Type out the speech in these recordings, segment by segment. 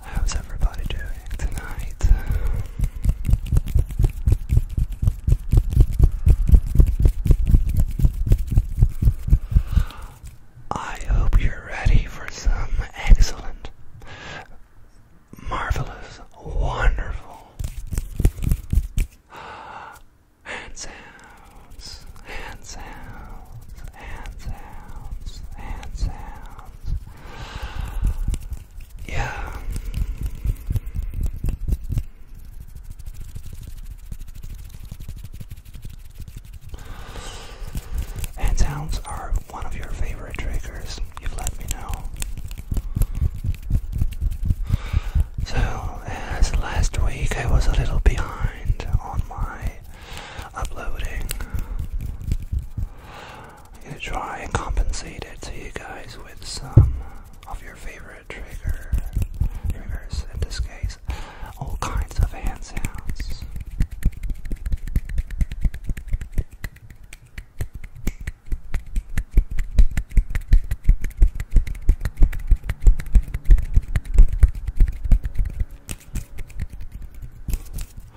How's everybody doing tonight? I hope you're ready for some excellent, marvelous, wonderful hand sounds, hand sounds, hand sounds, hand sounds. Yeah. And hounds are one of your favorite triggers, you've let me know. So, as last week I was a little behind on my uploading, I'm gonna try and compensate it to you guys with some of your favorite trigger, triggers in this case, all kinds of hand sounds.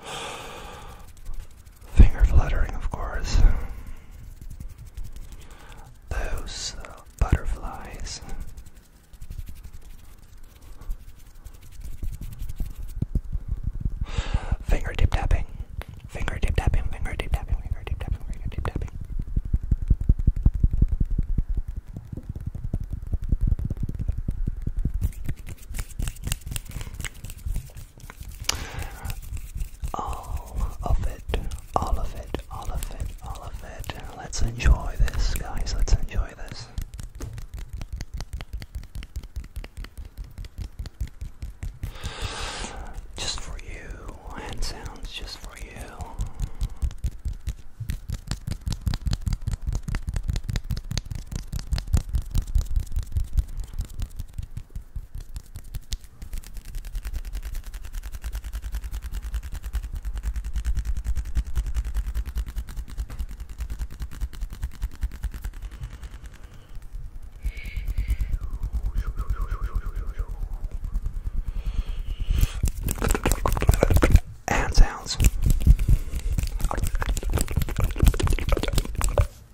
Finger fluttering, of course. Those uh, butterflies Finger tip tapping. Finger tip tapping. Finger tip tapping. Finger tip tapping. Finger tip tapping. All of it all of it, all of it, all of it. Let's enjoy this, guys. Let's enjoy this. Just for you, hand sounds just for you. And sounds.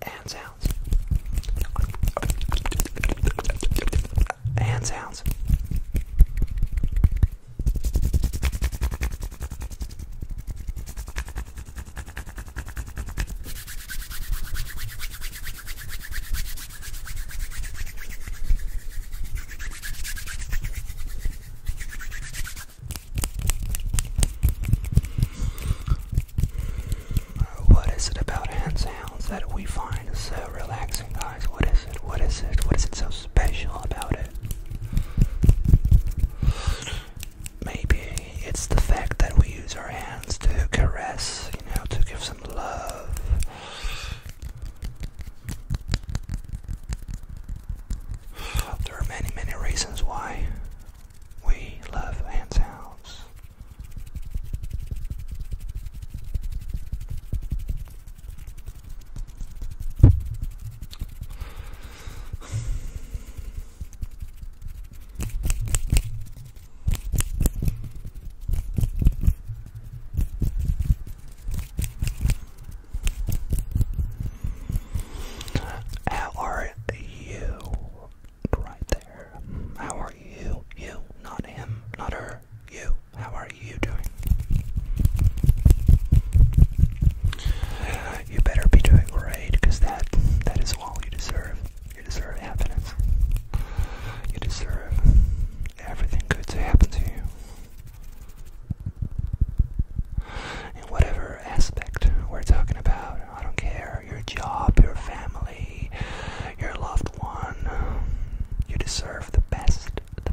And sounds hand sounds. What is it about hand sounds that we find so relaxing, guys? What is it? What is it? What is it so special about it. Maybe it's the fact that we use our hands to caress, you know, to give some love. There are many, many reasons why we love hand sounds. How are you? Right there. How are you? You, not him, not her, you. How are you doing? You better be doing great, because that, that is all you deserve. You deserve happiness. You deserve everything good to happen to you. In whatever aspect we're talking about, I don't care, your job, your family, your loved one, you deserve the best the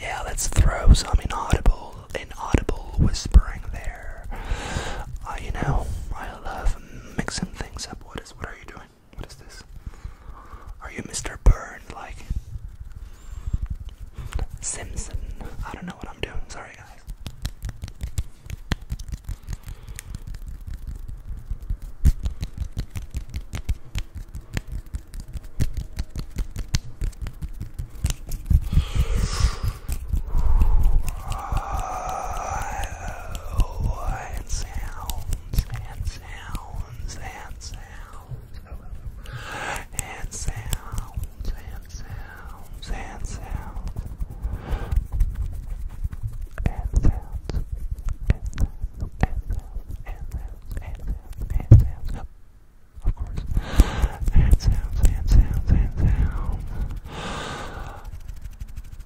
yeah, let's throw some inaudible, inaudible whispering there. Uh, you know, I love mixing things up. What is? What are you doing? What is this? Are you Mr. Burn like Simpson? I don't know what I'm doing. Sorry, guys and sounds and sounds and sounds and sounds and sounds and sounds and sounds and sounds of course. And sounds, and sounds, and sounds.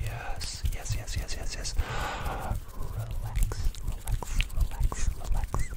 yes, yes, yes, yes, yes, yes. relax, relax. Relax, relax, relax.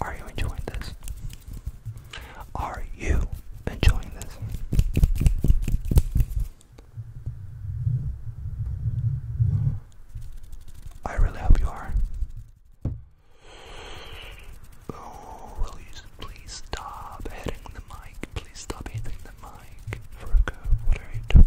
Are you enjoying this? Are you enjoying this? I really hope you are. Oh, will you please stop hitting the mic? Please stop hitting the mic. Virgo, what are you doing?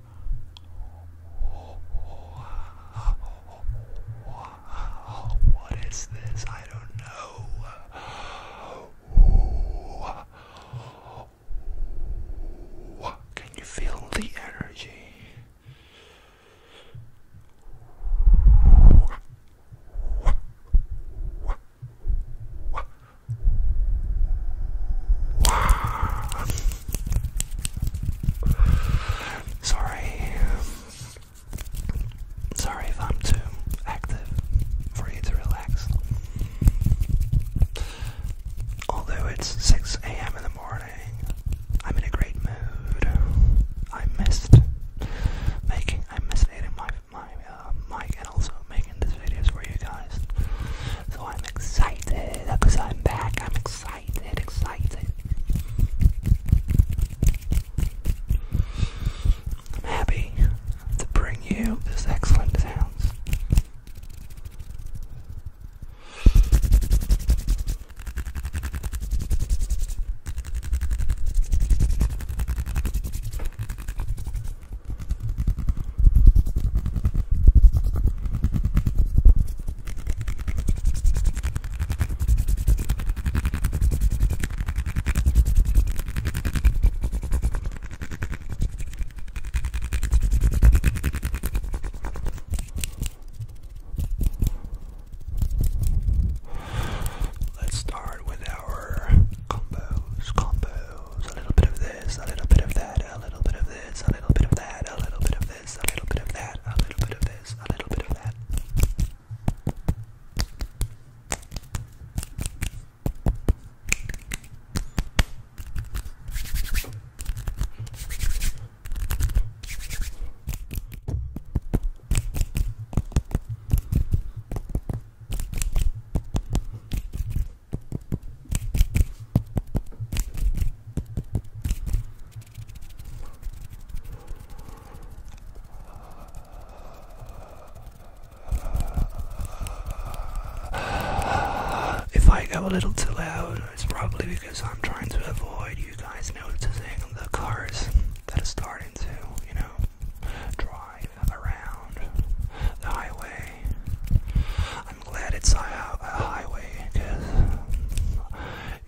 What is this? I don't know. Can you feel the energy? Sorry. Sorry if I'm too active for you to relax. Although it's 6 a.m. in the morning, I'm in a great mood. I missed making, I missed eating my, my uh, mic and also making these videos for you guys. So I'm excited because I'm back. I'm excited, excited. I'm happy to bring you this excellent sounds. Let's start with our combos nose, a little bit of this, a little bit of that, a little bit of this, a little bit of that, a little bit of this, a little bit of that, a little bit of this, a little bit of that. If I go a little too loud, it's probably because I'm trying to avoid you guys noticing the cars that are starting to, you know, drive around the highway I'm glad it's a, highway because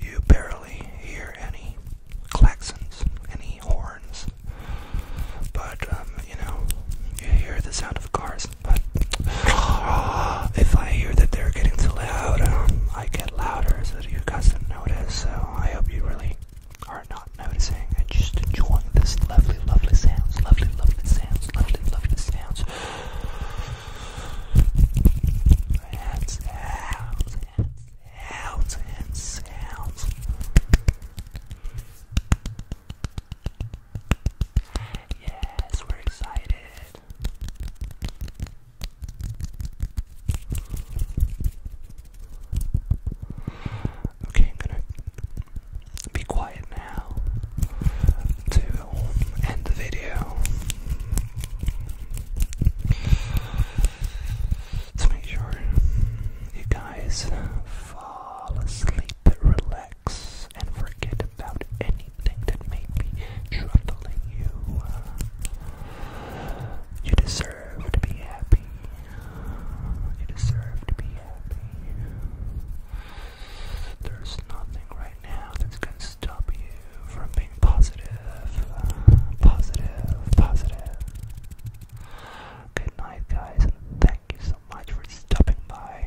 you barely hear any klaxons, any horns. But, um, you know, you hear the sound of cars. But if I hear that they're getting too loud, um, I get louder so that you guys don't notice. So I hope you really are not noticing and just enjoying this lovely, lovely sounds, lovely, lovely sounds, lovely, lovely sounds. Hands, hands, hands, hands, hands. Yes, we're excited. Okay, I'm gonna be quiet now to end the video to make sure you guys fall asleep, relax, and forget about anything that may be troubling you. You deserve to be happy. You deserve to be happy. There's nothing right now that's going to stop you from being positive. Good night, guys, and thank you so much for stopping by.